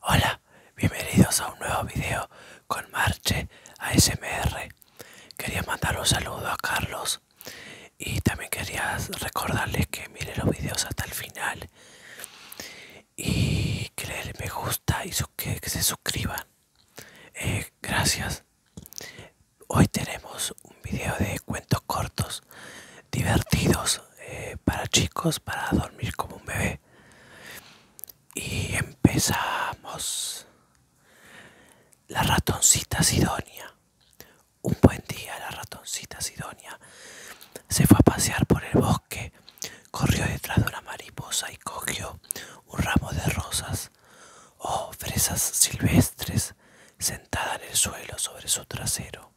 Hola, bienvenidos a un nuevo video con Marche ASMR. Quería mandar un saludo a Carlos y también quería recordarles que miren los videos hasta el final y que le den me gusta y que, se suscriban. Eh, gracias. Hoy tenemos un video de cuentos cortos, divertidos, eh, para chicos para dormir como un bebé. Y empezamos. La ratoncita Sidonia. Un buen día la ratoncita Sidonia se fue a pasear por el bosque, corrió detrás de una mariposa y cogió un ramo de rosas o fresas silvestres sentada en el suelo sobre su trasero.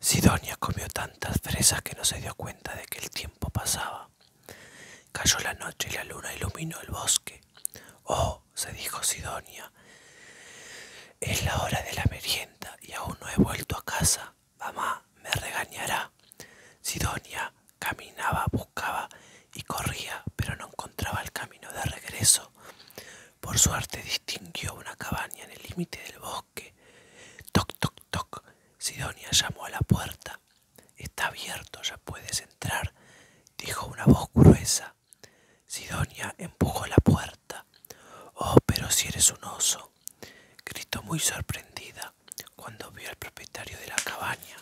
Sidonia comió tantas fresas que no se dio cuenta de que el tiempo pasaba. Cayó la noche y la luna iluminó el bosque. Oh, se dijo Sidonia, es la hora de la merienda y aún no he vuelto a casa. Mamá me regañará. Sidonia caminaba, buscaba y corría, pero no encontraba el camino de regreso. Por suerte distinguió una cabaña en el límite del bosque. Toc, toc, toc. Sidonia llamó a la puerta. Está abierto, ya puedes entrar, dijo una voz gruesa. Sidonia empujó la puerta. Oh, pero si eres un oso, gritó muy sorprendida cuando vio al propietario de la cabaña.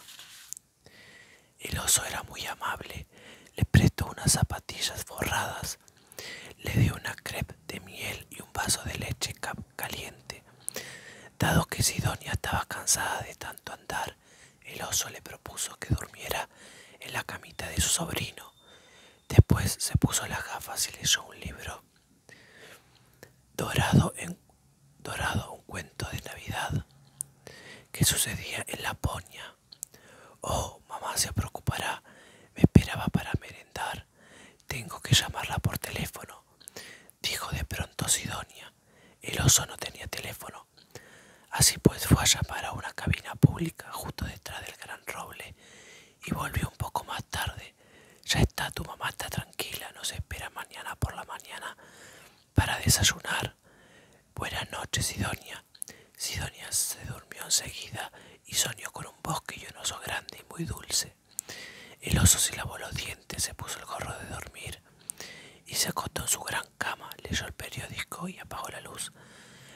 El oso era muy amable, le prestó unas zapatillas forradas le dio una crepe de miel y un vaso de leche caliente. Dado que Sidonia estaba cansada de tanto andar, el oso le propuso que durmiera en la camita de su sobrino. Después se puso las gafas y leyó un libro. Dorado, un cuento de Navidad que sucedía en Laponia. Oh, mamá se preocupará. Me esperaba para merendar. Tengo que llamarla por teléfono, dijo de pronto Sidonia. El oso no tenía teléfono. Así pues fue a llamar a una cabina pública justo detrás del gran roble y volvió un poco más tarde. Ya está, tu mamá está tranquila, nos espera mañana por la mañana para desayunar. Buenas noches, Sidonia. Sidonia se durmió enseguida y soñó con un bosque y oso grande y muy dulce. El oso se lavó los dientes, se puso el gorro de dormir y se acostó en su gran cama, leyó el periódico y apagó la luz.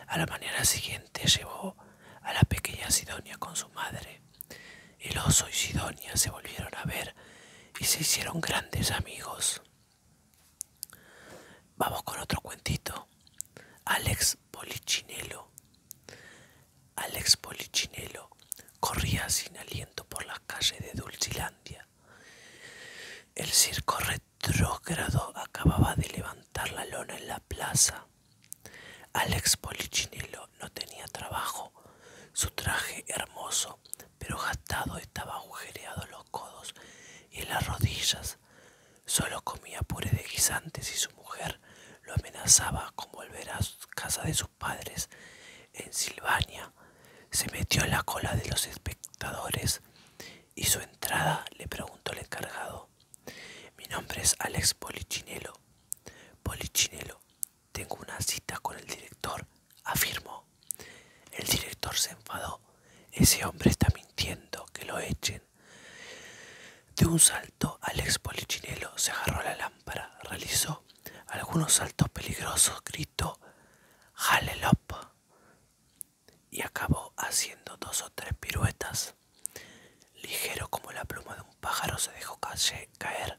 A la mañana siguiente llevó a la pequeña Sidonia con su madre. El oso y Sidonia se volvieron a ver y se hicieron grandes amigos. Vamos con otro cuentito. Alex Polichinelo. Alex Polichinelo corría sin aliento por las calles de Dulcilandia. El circo retrógrado acababa de levantar la lona en la plaza. Alex Polichinelo no tenía trabajo. Su traje hermoso pero gastado estaba agujereado en los codos y las rodillas. Solo comía puré de guisantes y su mujer lo amenazaba con volver a casa de sus padres en Silvania. Se metió en la cola de los espectadores y su entrada le preguntó al encargado. Mi nombre es Alex Polichinelo. Polichinelo, tengo una cita con el director afirmó. El director se enfadó. Ese hombre está mintiendo, que lo echen. De un salto, Alex Polichinelo se agarró la lámpara, realizó algunos saltos peligrosos, gritó lop y acabó haciendo dos o tres piruetas. Ligero como la pluma de un pájaro se dejó caer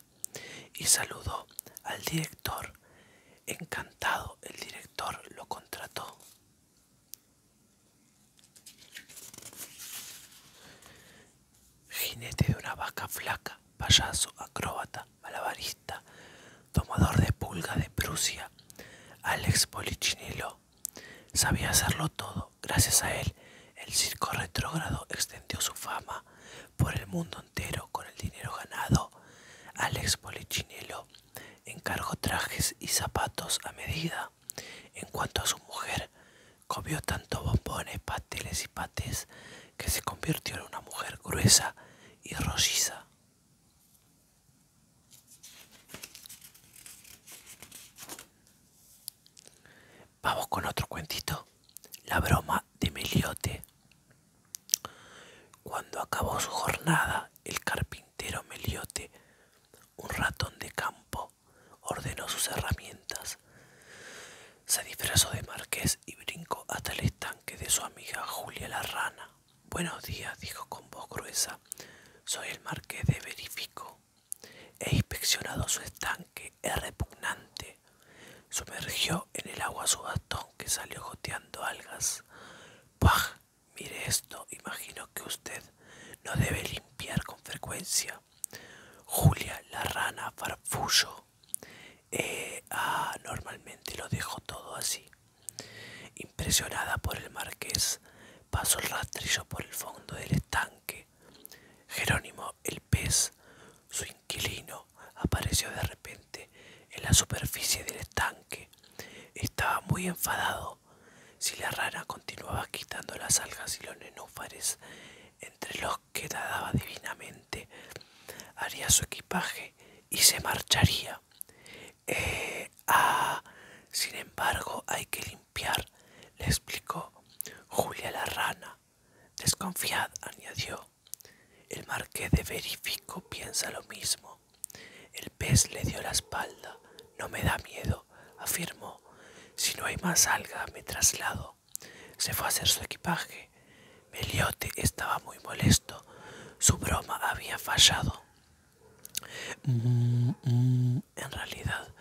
y saludó al director. Encantado, el director lo contrató. Jinete de una vaca flaca, payaso, acróbata, malabarista, tomador de pulga de Prusia, Alex Polichinelo. Sabía hacerlo todo. Gracias a él, el circo retrógrado extendió su fama por el mundo con el dinero ganado, Alex Polichinelo encargó trajes y zapatos a medida. En cuanto a su mujer, comió tanto bombones, pasteles y pates que se convirtió en una mujer gruesa y rolliza. Vamos con otro cuentito. La broma de Meliote. Cuando acabó su jornada, el carpintero Meliote, un ratón de campo, ordenó sus herramientas. Se disfrazó de marqués y brincó hasta el estanque de su amiga Julia la rana. Buenos días, dijo con voz gruesa. Soy el marqués de Verifico. He inspeccionado su estanque, es repugnante Sumergió en el agua su bastón que salió goteando algas. ¡Pah! Mire esto, imagino que usted no debe limpiar con frecuencia. Julia, la rana, farfullo. Eh, ah, normalmente lo dejo todo así. Impresionada por el marqués, pasó el rastrillo por el fondo del estanque. Jerónimo el pez, su inquilino, apareció de repente en la superficie del estanque. Estaba muy enfadado. Si la rana continuaba quitando las algas y los nenúfares, entre los que nadaba divinamente, haría su equipaje y se marcharía. Eh, ah, sin embargo, hay que le explicó Julia la rana. Desconfiad, añadió. El marqués de Verifico piensa lo mismo. El pez le dio la espalda. No me da miedo, afirmó. Si no hay más alga, me traslado. Se fue a hacer su equipaje. Meliote estaba muy molesto. Su broma había fallado. Mm, mm, en realidad,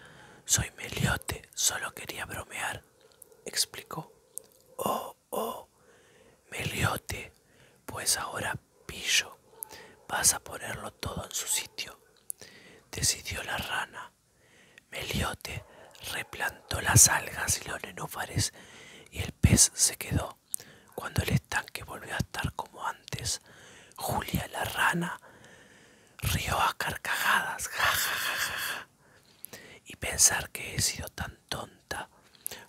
soy Meliote, solo quería bromear, explicó. Oh, oh, Meliote, pues ahora pillo, vas a ponerlo todo en su sitio, decidió la rana. Meliote replantó las algas y los nenúfares y el pez se quedó. Cuando el estanque volvió a estar como antes, Julia la rana rió a carcajadas, ja, ja, ja, ja, y pensar que he sido tan tonta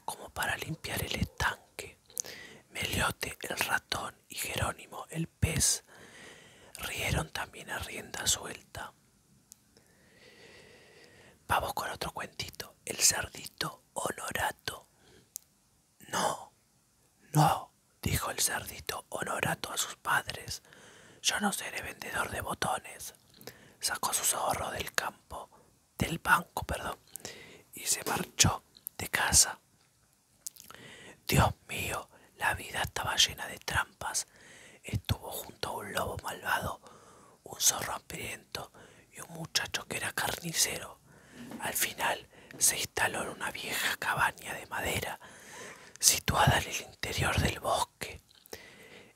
como para limpiar el estanque. Meliote, el ratón, y Jerónimo, el pez, rieron también a rienda suelta. Vamos con otro cuentito, el cerdito honorato. No, no, dijo el cerdito honorato a sus padres. Yo no seré vendedor de botones. Sacó su zorro del campo, del banco, perdón, y se marchó de casa. Dios mío, la vida estaba llena de trampas. Estuvo junto a un lobo malvado, un zorro hambriento y un muchacho que era carnicero. Al final se instaló una vieja cabaña de madera situada en el interior del bosque.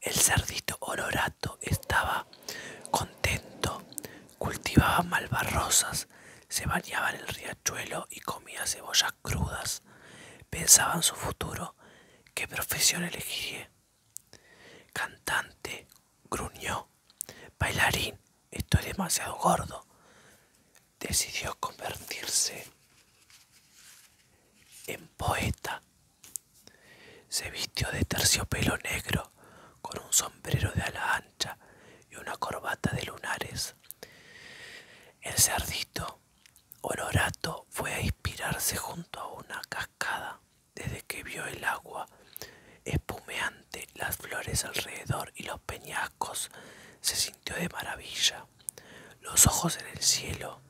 El cerdito olorato estaba contento, cultivaba malvarrosas, se bañaba en el riachuelo y comía cebollas crudas. Pensaba en su futuro, qué profesión elegiría. Cantante, gruñó, Bailarín, esto es demasiado gordo. Decidió convertirse en poeta. Se vistió de terciopelo negro con un sombrero de ala ancha y una corbata de lunares. El cerdito Honorato fue a inspirarse junto a una cascada desde que vio el agua espumeante las flores alrededor y los peñascos, se sintió de maravilla. Los ojos en el cielo,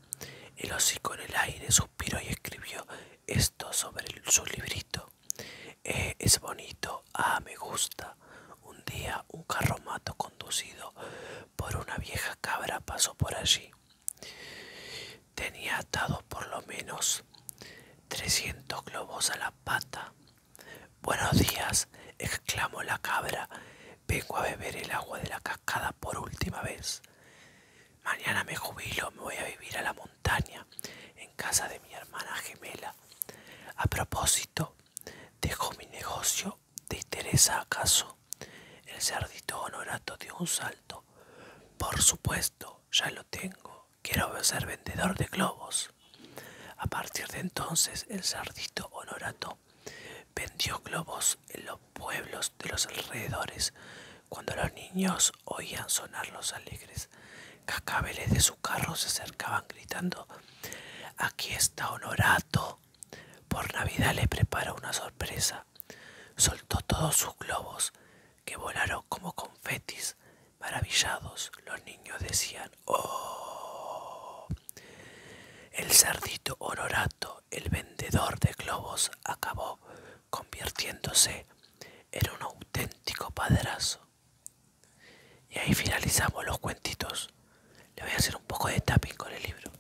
el hocico en el aire, suspiró y escribió esto sobre su librito. Eh, es bonito, ah, me gusta. Un día un carromato conducido por una vieja cabra pasó por allí. Tenía atados por lo menos 300 globos a la pata. Buenos días, exclamó la cabra. Vengo a beber el agua de la cascada por última vez. Mañana me jubilo, me voy a vivir a la montaña, en casa de mi hermana gemela. A propósito, dejo mi negocio. de interesa acaso? El cerdito honorato dio un salto. Por supuesto, ya lo tengo quiero ser vendedor de globos. A partir de entonces, el sardito honorato vendió globos en los pueblos de los alrededores cuando los niños oían sonar los alegres cacabeles de su carro se acercaban gritando aquí está honorato por navidad le prepara una sorpresa soltó todos sus globos que volaron como confetis. Maravillados, los niños decían ¡Oh! El cerdito honorato, el vendedor de globos, acabó convirtiéndose en un auténtico padrazo. Y ahí finalizamos los cuentitos. Le voy a hacer un poco de tapping con el libro.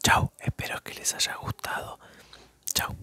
Chao, espero que les haya gustado. Chao.